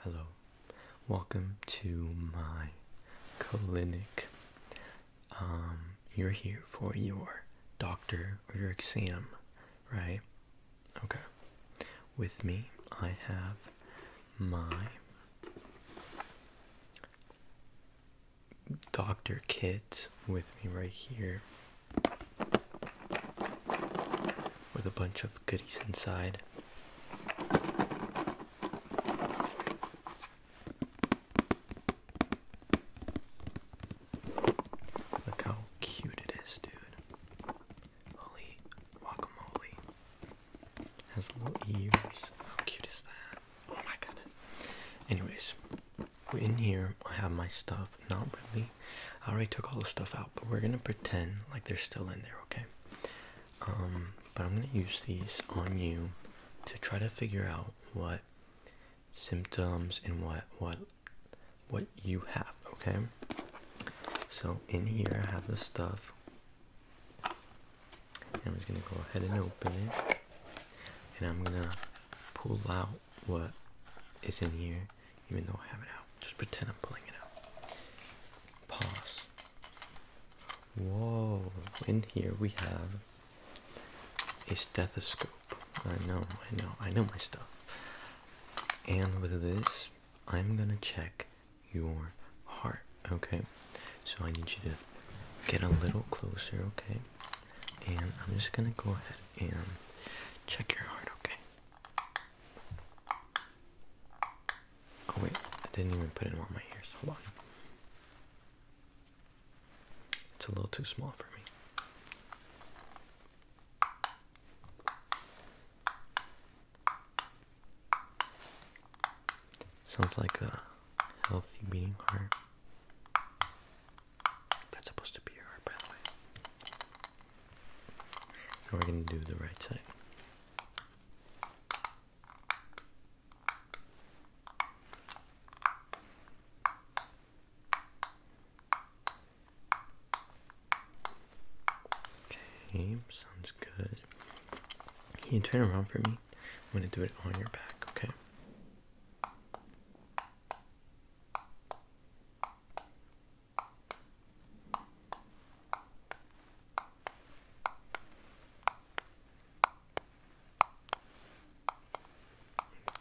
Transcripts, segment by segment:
Hello, welcome to my clinic. Um, you're here for your doctor or your exam, right? Okay. With me, I have my doctor kit with me right here with a bunch of goodies inside. Look how cute it is, dude. Holy guacamole. Has little ears. How cute is that? Oh my goodness. Anyways, we're in here. I have my stuff. Not really. I already took all the stuff out, but we're gonna pretend like they're still in there, okay? um, but I'm going to use these on you to try to figure out what symptoms and what what what you have okay so in here I have the stuff I'm just gonna go ahead and open it and I'm gonna pull out what is in here even though I haven't just pretend I'm pulling it out. Pause. Whoa. In here we have a stethoscope. I know, I know, I know my stuff. And with this, I'm gonna check your heart, okay? So I need you to get a little closer, okay? And I'm just gonna go ahead and check your heart, okay? Oh wait, I didn't even put it on my ears. Hold on. It's a little too small for me. Sounds like a healthy beating heart. That's supposed to be your heart, by the we're going to do the right side. Okay, sounds good. Can you turn around for me? I'm gonna do it on your back, okay?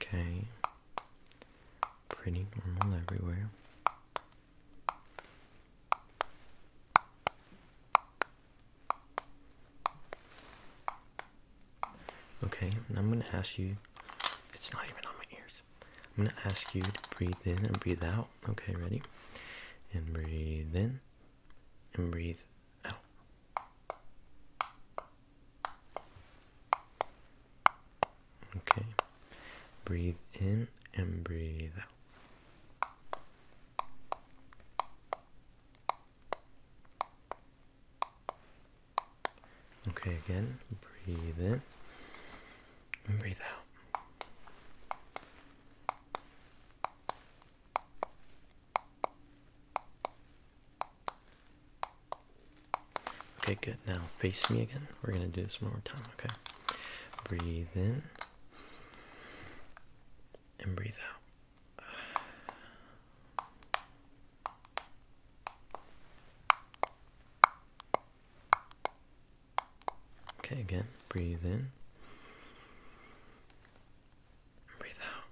Okay, pretty normal everywhere. Okay, I'm gonna ask you, it's not even on my ears. I'm gonna ask you to breathe in and breathe out. Okay, ready? And breathe in and breathe out. Okay. Breathe in and breathe out. Okay, again, breathe in breathe out. Okay, good. Now face me again. We're going to do this one more time, okay? Breathe in and breathe out. Okay, again, breathe in. Breathe out.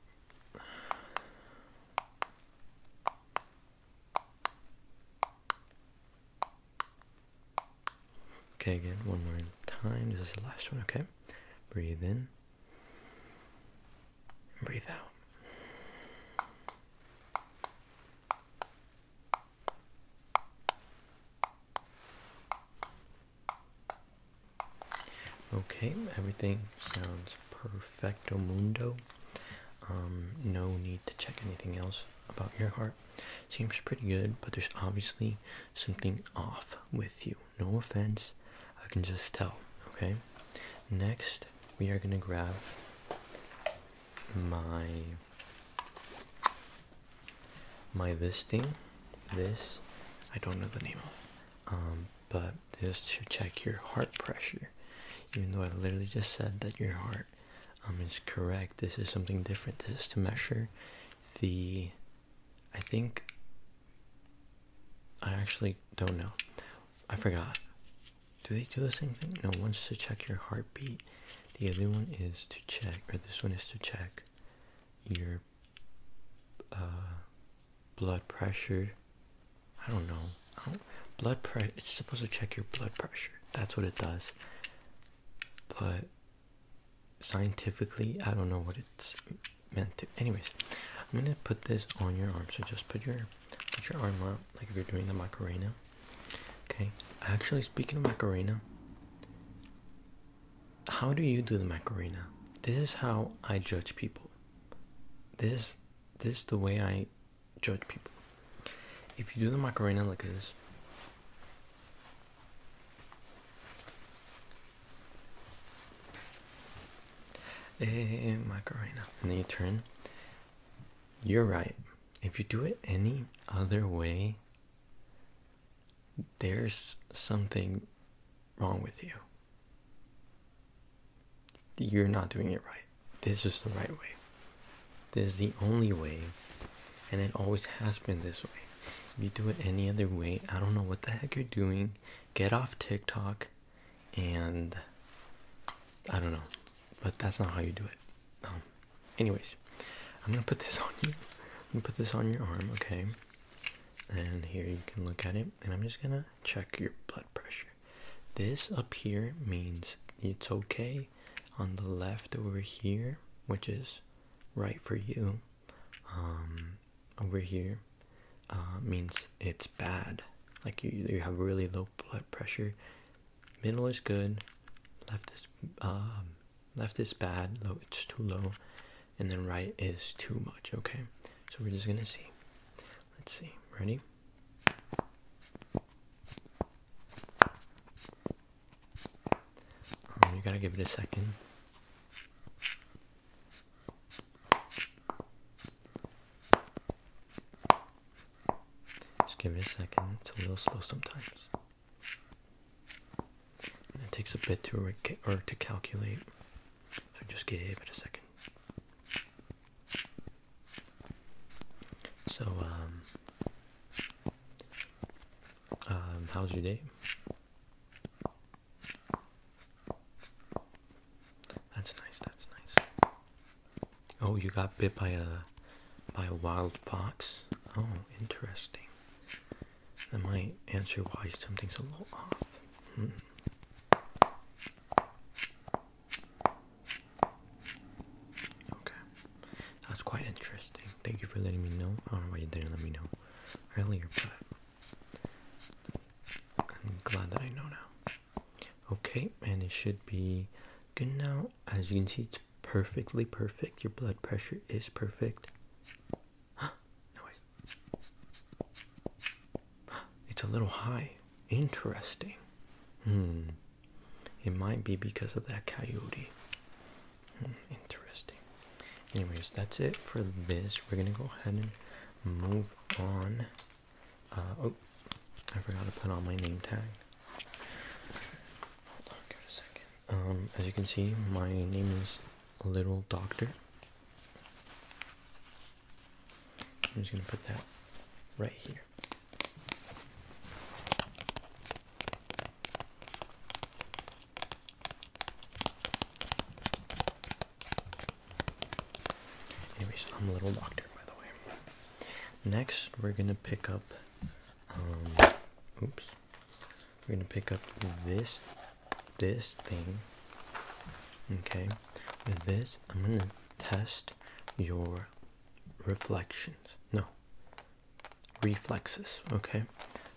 Okay, again, one more time. This is the last one, okay? Breathe in. Breathe out. Okay, everything sounds perfecto mundo. Um, no need to check anything else about your heart. Seems pretty good, but there's obviously something off with you. No offense, I can just tell. Okay, next we are gonna grab my my this thing this i don't know the name of um, but this to check your heart pressure even though i literally just said that your heart um, is correct this is something different this is to measure the i think i actually don't know i forgot do they do the same thing no one's to check your heartbeat the other one is to check or this one is to check your uh, blood pressure. I don't know. blood pressure. It's supposed to check your blood pressure. That's what it does. But scientifically, I don't know what it's meant to. Anyways, I'm gonna put this on your arm. So just put your put your arm out, like if you're doing the Macarena. Okay. Actually, speaking of Macarena, how do you do the macarena this is how i judge people this this is the way i judge people if you do the macarena like this eh, macarena and then you turn you're right if you do it any other way there's something wrong with you. You're not doing it right. This is the right way. This is the only way, and it always has been this way. If you do it any other way, I don't know what the heck you're doing. Get off TikTok, and I don't know, but that's not how you do it. Um, anyways, I'm gonna put this on you. I'm gonna put this on your arm, okay? And here you can look at it, and I'm just gonna check your blood pressure. This up here means it's okay on the left over here, which is right for you. Um, over here uh, means it's bad, like you, you have really low blood pressure. Middle is good, left is um, left is bad low it's too low and then right is too much okay so we're just gonna see let's see ready you gotta give it a second just give it a second it's a little slow sometimes it takes a bit to or to calculate. So just give it a second. So um, um how's your day? That's nice. That's nice. Oh, you got bit by a by a wild fox. Oh, interesting that might answer why something's a little off. Hmm. Okay, that's quite interesting. Thank you for letting me know. I don't know why you didn't let me know earlier, but I'm glad that I know now. Okay, and it should be good now. As you can see, it's perfectly perfect. Your blood pressure is perfect. no way. It's a little high. Interesting. Hmm. It might be because of that coyote. Hmm, interesting. Anyways, that's it for this. We're gonna go ahead and move on. Uh, oh, I forgot to put on my name tag. Hold on, give it a second. Um, as you can see, my name is Little Doctor. I'm just going to put that right here. Anyways, I'm little doctor, by the way. Next, we're gonna pick up. Um, oops. We're going to pick up this this thing. Okay. With this, I'm going to test your reflections. No. Reflexes, okay?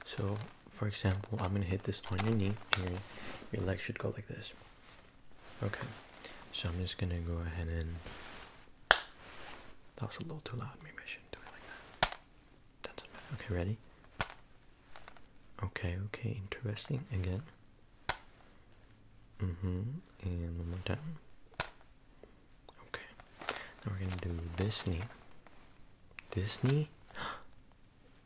So, for example, I'm gonna hit this on your knee, and your, your leg should go like this. Okay, so I'm just gonna go ahead and. That was a little too loud, maybe I shouldn't do it like that. Okay, ready? Okay, okay, interesting. Again. Mm-hmm. And one more time. Okay. Now we're gonna do Disney. Disney.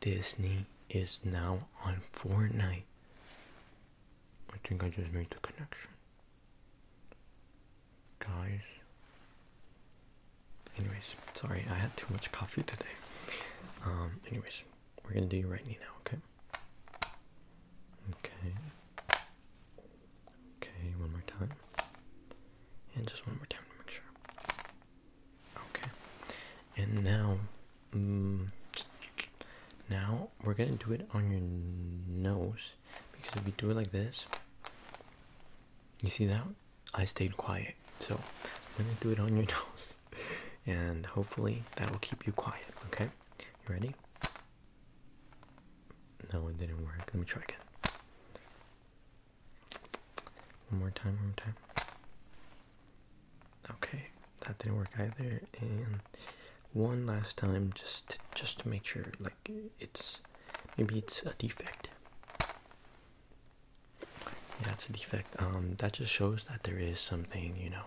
Disney is now on Fortnite. I think I just made the connection guys. Anyways, sorry, I had too much coffee today. Um, anyways, we're gonna do your right knee now, okay? Okay. Okay, one more time. And just one more time to make sure. Okay. And now, um, now we're gonna do it on your nose because if we do it like this, you see that? I stayed quiet. So I'm gonna do it on your nose, and hopefully that will keep you quiet. Okay, you ready? No, it didn't work. Let me try again. One more time. One more time. Okay, that didn't work either. And one last time, just just to make sure, like it's maybe it's a defect. That's it's a defect. that just shows that there is something, you know,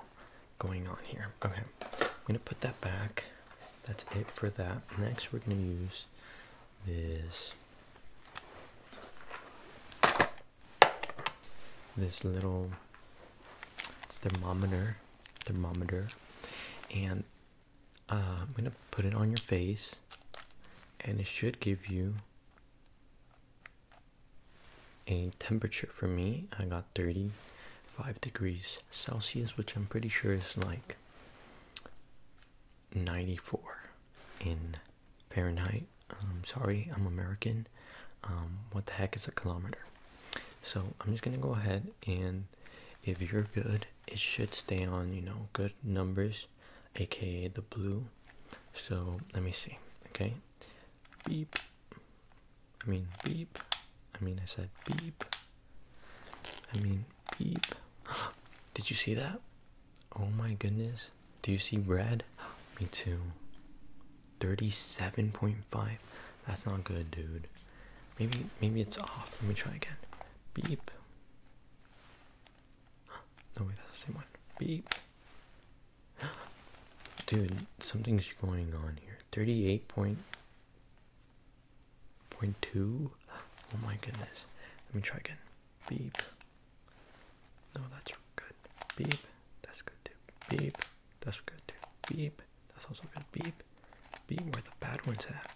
going on here. Okay, I'm gonna put that back. That's it for that. Next, we're gonna use this this little thermometer thermometer and uh, I'm gonna put it on your face and it should give you a temperature for me I got 35 degrees Celsius which I'm pretty sure is like 94 in Fahrenheit I'm um, sorry I'm American um, what the heck is a kilometer so I'm just gonna go ahead and if you're good it should stay on you know good numbers aka the blue so let me see okay beep i mean beep i mean i said beep i mean beep did you see that oh my goodness do you see red me too 37.5 that's not good dude maybe maybe it's off let me try again beep no, way, that's the same one. Beep. Dude, something's going on here. 38 point, point two. Oh my goodness. Let me try again. Beep. No, that's good. Beep. That's good too. Beep. That's good too. Beep. That's also good. Beep. Beep. Where the bad ones have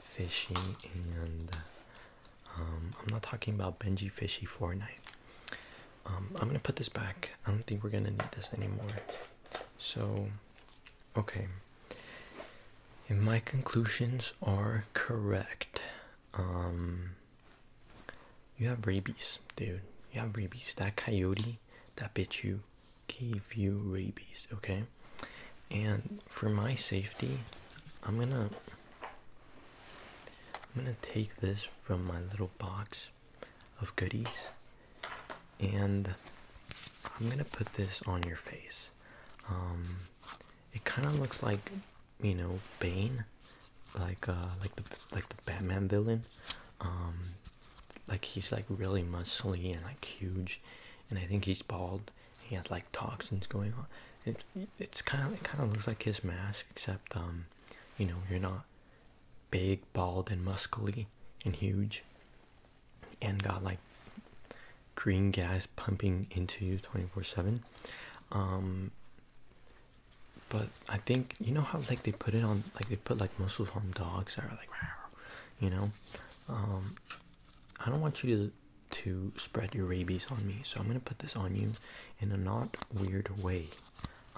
Fishy and um, I'm not talking about Benji Fishy Fortnite. Um, I'm gonna put this back. I don't think we're gonna need this anymore. So, okay. If my conclusions are correct, um, you have rabies, dude. You have rabies. That coyote that bitch, you gave you rabies, okay? And for my safety, I'm gonna I'm gonna take this from my little box of goodies and I'm gonna put this on your face. Um, it kind of looks like you know Bane, like uh, like the like the Batman villain. Um, like he's like really muscly and like huge, and I think he's bald. He has like toxins going on. It's it's kind of it kind of looks like his mask, except um, you know, you're not big, bald, and muscly and huge, and got like green gas pumping into you twenty four seven. Um, but I think you know how like they put it on like they put like muscles on dogs that are like you know um I don't want you to to spread your rabies on me, so I'm gonna put this on you in a not weird way,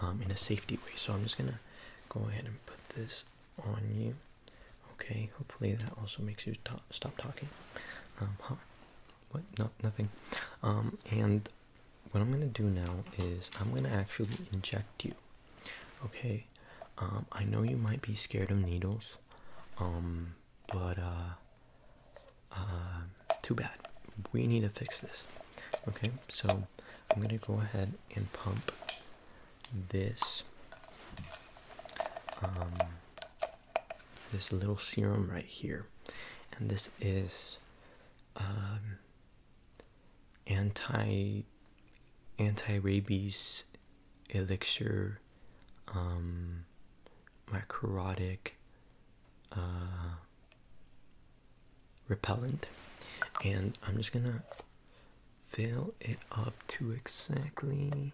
um, in a safety way. So I'm just gonna go ahead and put this on you. Okay. Hopefully that also makes you stop talking. Um, huh? What? No, nothing. Um, and what I'm gonna do now is I'm gonna actually inject you. Okay, um, I know you might be scared of needles, um, but uh, uh, too bad. We need to fix this. Okay, so I'm gonna go ahead and pump this um, this little serum right here, and this is um, anti anti-rabies elixir um uh, repellent and i'm just gonna fill it up to exactly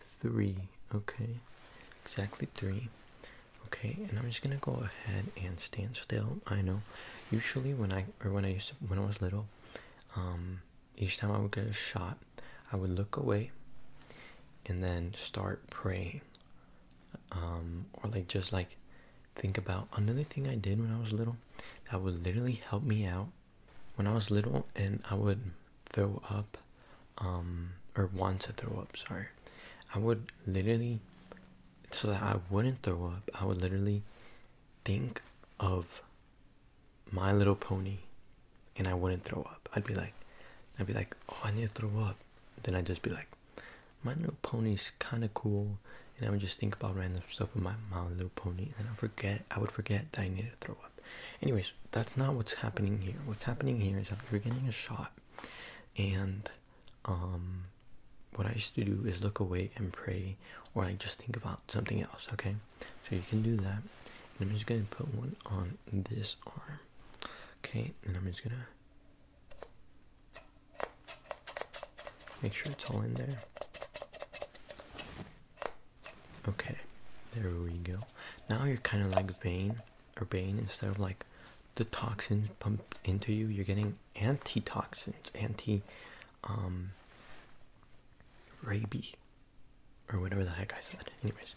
three okay exactly three okay and i'm just gonna go ahead and stand still i know usually when i or when i used to when i was little um each time I would get a shot, I would look away and then start praying. Um, or like just like think about another thing I did when I was little that would literally help me out when I was little and I would throw up um, or want to throw up, sorry. I would literally, so that I wouldn't throw up, I would literally think of my Little Pony, and I wouldn't throw up. I'd be like, I'd be like, oh, I need to throw up. Then I'd just be like, My Little Pony's kind of cool, and I would just think about random stuff with my My Little Pony, and I forget. I would forget that I need to throw up. Anyways, that's not what's happening here. What's happening here is after getting a shot, and um, what I used to do is look away and pray, or I just think about something else. Okay, so you can do that. I'm just going to put one on this arm. Okay, and I'm just going to make sure it's all in there. Okay, there we go. Now you're kind of like vein or bane instead of like the toxins pumped into you, you're getting antitoxins, anti um, Raby or whatever the heck I said. Anyways,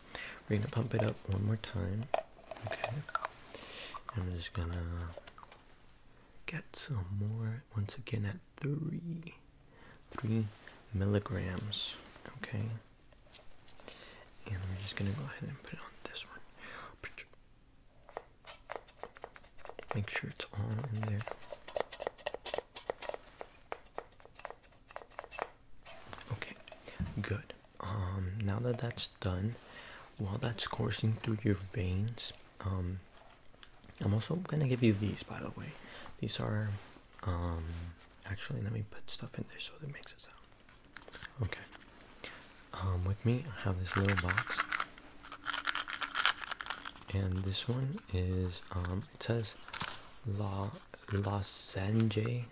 we're gonna pump it up one more time. Okay, I'm just gonna get some more once again at three, three milligrams. Okay, and we're just gonna go ahead and put it on this one. Make sure it's all in there. Okay, good. Um, now that that's done, while that's coursing through your veins, um, I'm also gonna give you these. By the way, these are, um, actually, let me put stuff in there so that makes a sound. Okay. Um, with me, I have this little box, and this one is um, it says La Losange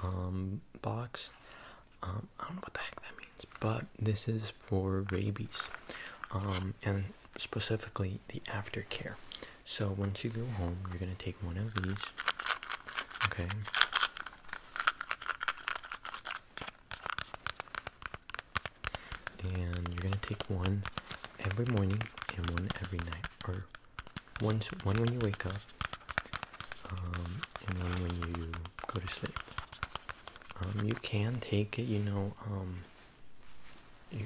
um box. Um, I don't know what the heck that means, but this is for babies, um, and specifically the aftercare. So once you go home you're gonna take one of these. Okay and you're gonna take one every morning and one every night, or one one when you wake up, um, and then when you go to sleep. Um, you can take it, you know. Um,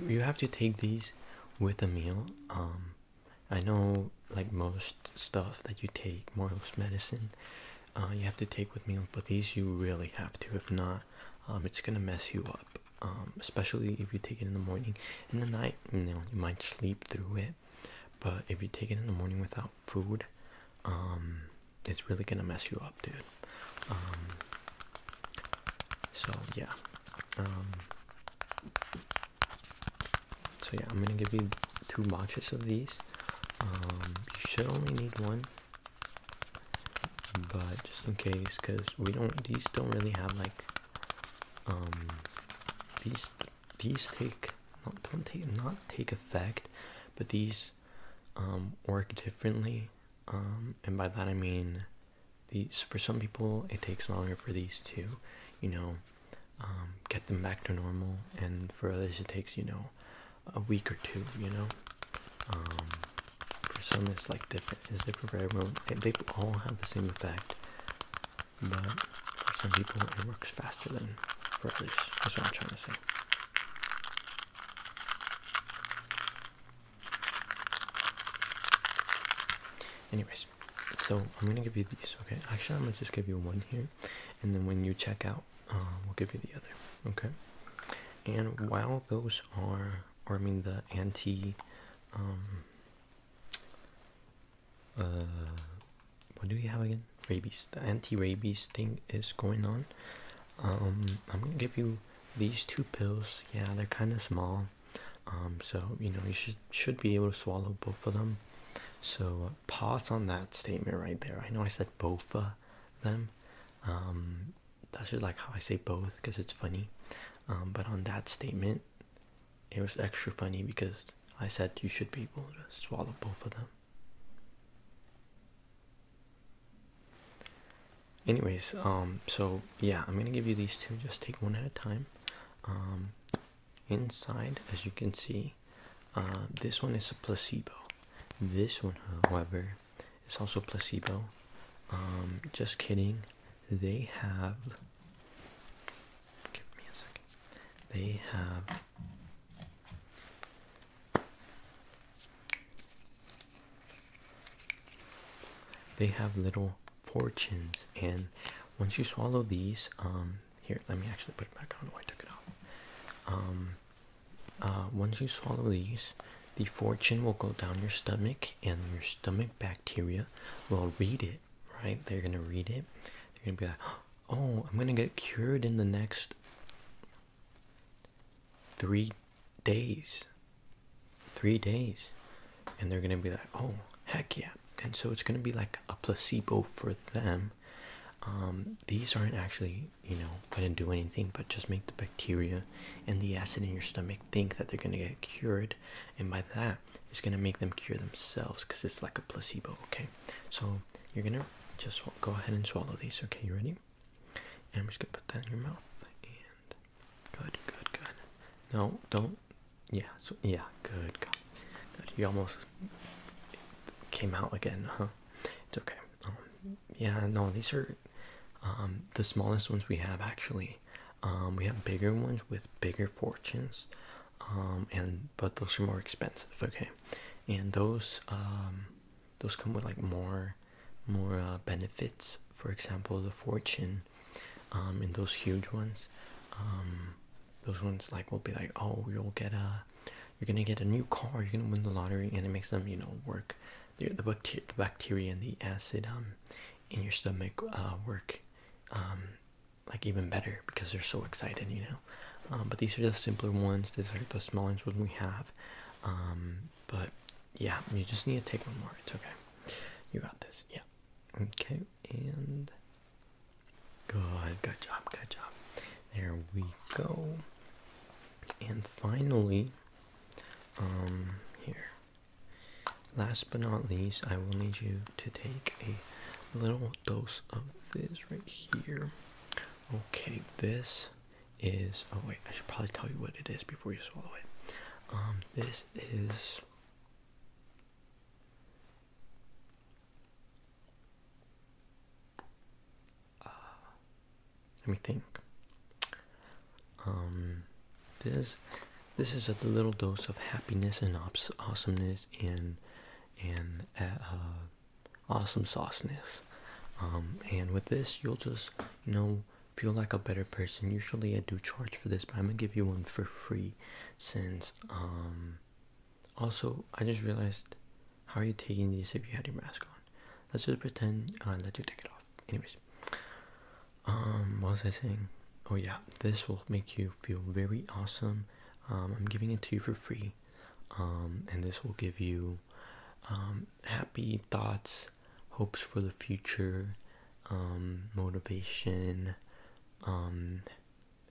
you have to take these with a meal. I know, like most stuff that you take, most medicine, uh, you have to take with meals, but these you really have to. If not, it's gonna mess you up. Um, especially if you take it in the morning. In the night, you know, you might sleep through it, but if you take it in the morning without food, um, it's really gonna mess you up, dude. Um, so yeah, so yeah, I'm gonna give you two boxes of these. you should only need one but just in case because we don't these don't really have like um these these take not take not take effect but these um, work differently um, and by that i mean these for some people it takes longer for these to you know um, get them back to normal and for others it takes you know a week or two you know for some it's like different it's different for everyone they all have the same effect but for some people it works faster than for others that's what i'm trying to say anyways so i'm gonna give you these okay actually i'm gonna just give you one here and then when you check out uh, we'll give you the other okay and while those are or I mean the anti um uh what do we have again? Rabies. The anti-rabies thing is going on. Um I'm gonna give you these two pills. Yeah, they're kinda small. Um so you know you should should be able to swallow both of them. So uh, pause on that statement right there. I know I said both of them. Um that's just like how I say both because it's funny. Um, but on that statement, it was extra funny because I said you should be able to swallow both of them. Anyways, um, so yeah, I'm gonna give you these two. Just take one at a time. Um, inside, as you can see, uh, this one is a placebo. This one, however, it's also placebo um, just kidding they have give me a second they have they have little fortunes and once you swallow these um, here let me actually put it back on oh, i took it off um, uh, once you swallow these the fortune will go down your stomach, and your stomach bacteria will read it. Right? They're gonna read it. They're gonna be like, "Oh, I'm gonna get cured in the next three days." Three days, and they're gonna be like, "Oh, heck yeah!" And so it's gonna be like a placebo for them. Um, these aren't actually, you know, gonna do anything, but just make the bacteria and the acid in your stomach think that they're going to get cured and by that it's going to make them cure themselves because it's like a placebo okay so you're going to just go ahead and swallow these okay you ready and i'm just going to put that in your mouth and good good good no don't yeah so yeah good good you almost came out again huh it's okay um, yeah no these are um, the smallest ones we have actually um, we have bigger ones with bigger fortunes um, and but those are more expensive okay and those um, those come with like more more uh, benefits for example the fortune in those huge ones those ones like will be like oh you'll get a you're gonna get a new car you're gonna win the lottery and it makes them you know work the, the, bacteria, and the acid in your stomach uh, work um, like even better because they're so excited, you know. Um, but these are the simpler ones. These are the smallest ones we have. Um, but yeah, you just need to take one more. It's okay. You got this. Yeah. Okay. And good. Good job. Good job. There we go. And finally, here. Last but not least, I will need you to take a little dose of this right here. Okay, this is. Oh, wait, I should probably tell you what it is before you swallow it. Um, this is. Uh, let me think um, this this is a little dose of happiness and awesomeness and and uh, uh, awesome sauceness. Um, and with this, you'll just you know feel like a better person. Usually, I do charge for this, but I'm gonna give you one for free since um, also I just realized how are you taking this if you had your mask on? Let's just pretend I uh, let you take it off anyways um what was i saying oh yeah this will make you feel very awesome um, i'm giving it to you for free um, and this will give you um, happy thoughts hopes for the future motivation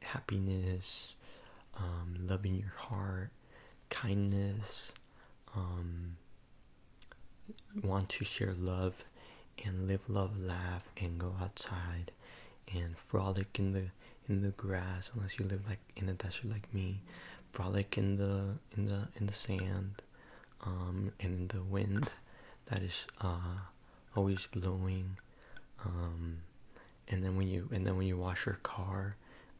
happiness um loving your heart kindness want to share love and live love laugh and go outside and frolic in the in the grass unless you live like in a desert like me frolic in the in the in the sand um and in the wind that is uh always blowing um and then when you and then when you wash your car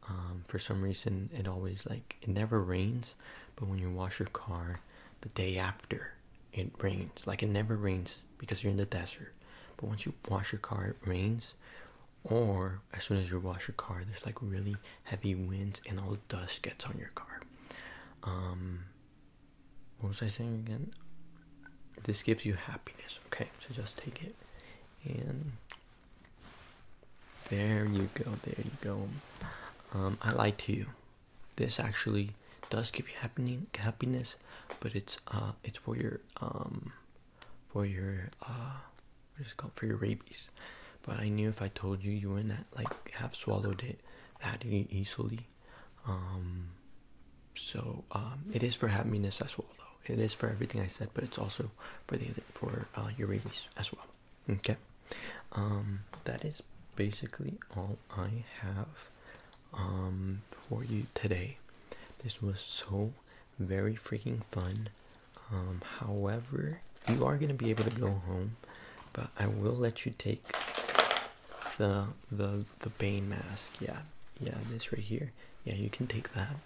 um for some reason it always like it never rains but when you wash your car the day after it rains like it never rains because you're in the desert but once you wash your car it rains or as soon as you wash your car there's like really heavy winds and all dust gets on your car um what was i saying again this gives you happiness okay so just take it and there you go there you go um i lied to you this actually does give you happening happiness but it's uh it's for your um for your uh what is called for your rabies but i knew if i told you you wouldn't like have swallowed it that easily um so um it is for happiness as well though it is for everything i said but it's also for the for uh, your rabies as well Okay, um, that is basically all I have um, for you today. This was so very freaking fun. Um, however, you are gonna be able to go home, but I will let you take the the the Bane mask. Yeah, yeah, this right here. Yeah, you can take that.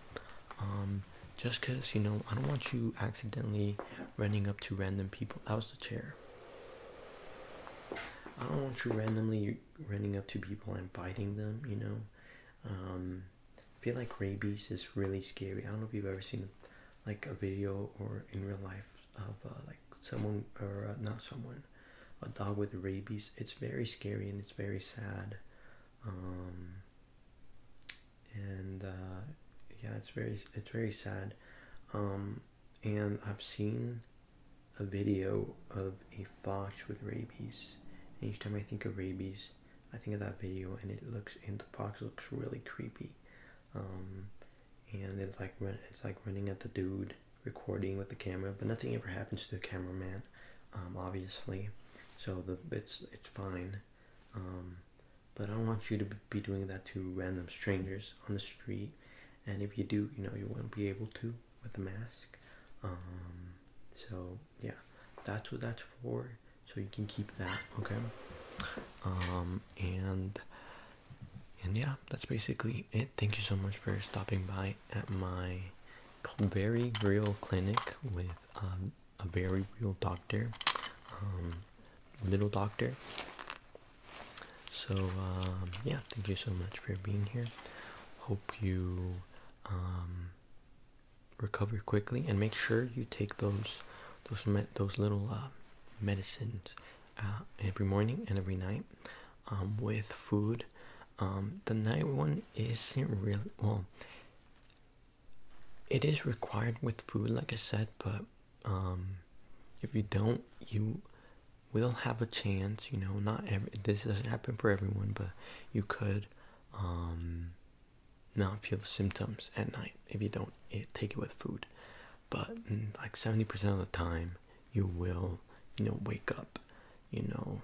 Um, just cause you know, I don't want you accidentally running up to random people. That was the chair. I don't want you randomly running up to people and biting them, you know. Um, feel like rabies is really scary. I don't know if you've ever seen like a video or in real life of uh, like someone or uh, not someone, a dog with rabies. It's very scary and it's very sad. Um, and uh, yeah, it's very it's very sad. Um, and I've seen a video of a fox with rabies. And each time I think of rabies, I think of that video, and it looks and the fox looks really creepy. Um, and it's like run, it's like running at the dude, recording with the camera, but nothing ever happens to the cameraman, um, obviously. So the it's it's fine. Um, but I want you to be doing that to random strangers on the street. And if you do, you know, you won't be able to with a mask. Um, so yeah, that's what that's for. So you can keep that, okay? Um, and and yeah, that's basically it. Thank you so much for stopping by at my very real clinic with um, a very real doctor, little doctor. So um, yeah, thank you so much for being here. Hope you um, recover quickly, and make sure you take those those those little uh, medicines uh, every morning and every night um, with food. the night one isn't really well. It is required with food, like I said, but um if you don't you will have a chance you know not every this doesn't happen for everyone but you could um not feel the symptoms at night if you don't eh, take it with food but mm, like 70% of the time you will you know wake up you know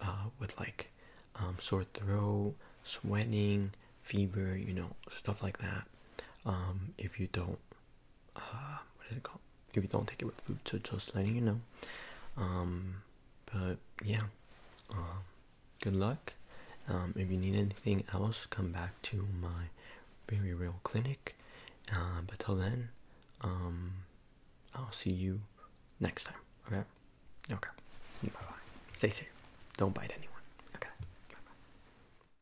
uh, with like um, sore throat sweating fever you know stuff like that um, if you don't uh, what is it called? If you don't take it with food, so just letting you know. Um, but yeah, uh, good luck. Um, if you need anything else, come back to my very real clinic. Uh, but till then, um, I'll see you next time. Okay? Okay. Bye bye. Stay safe. Don't bite anyone. Okay. Bye bye.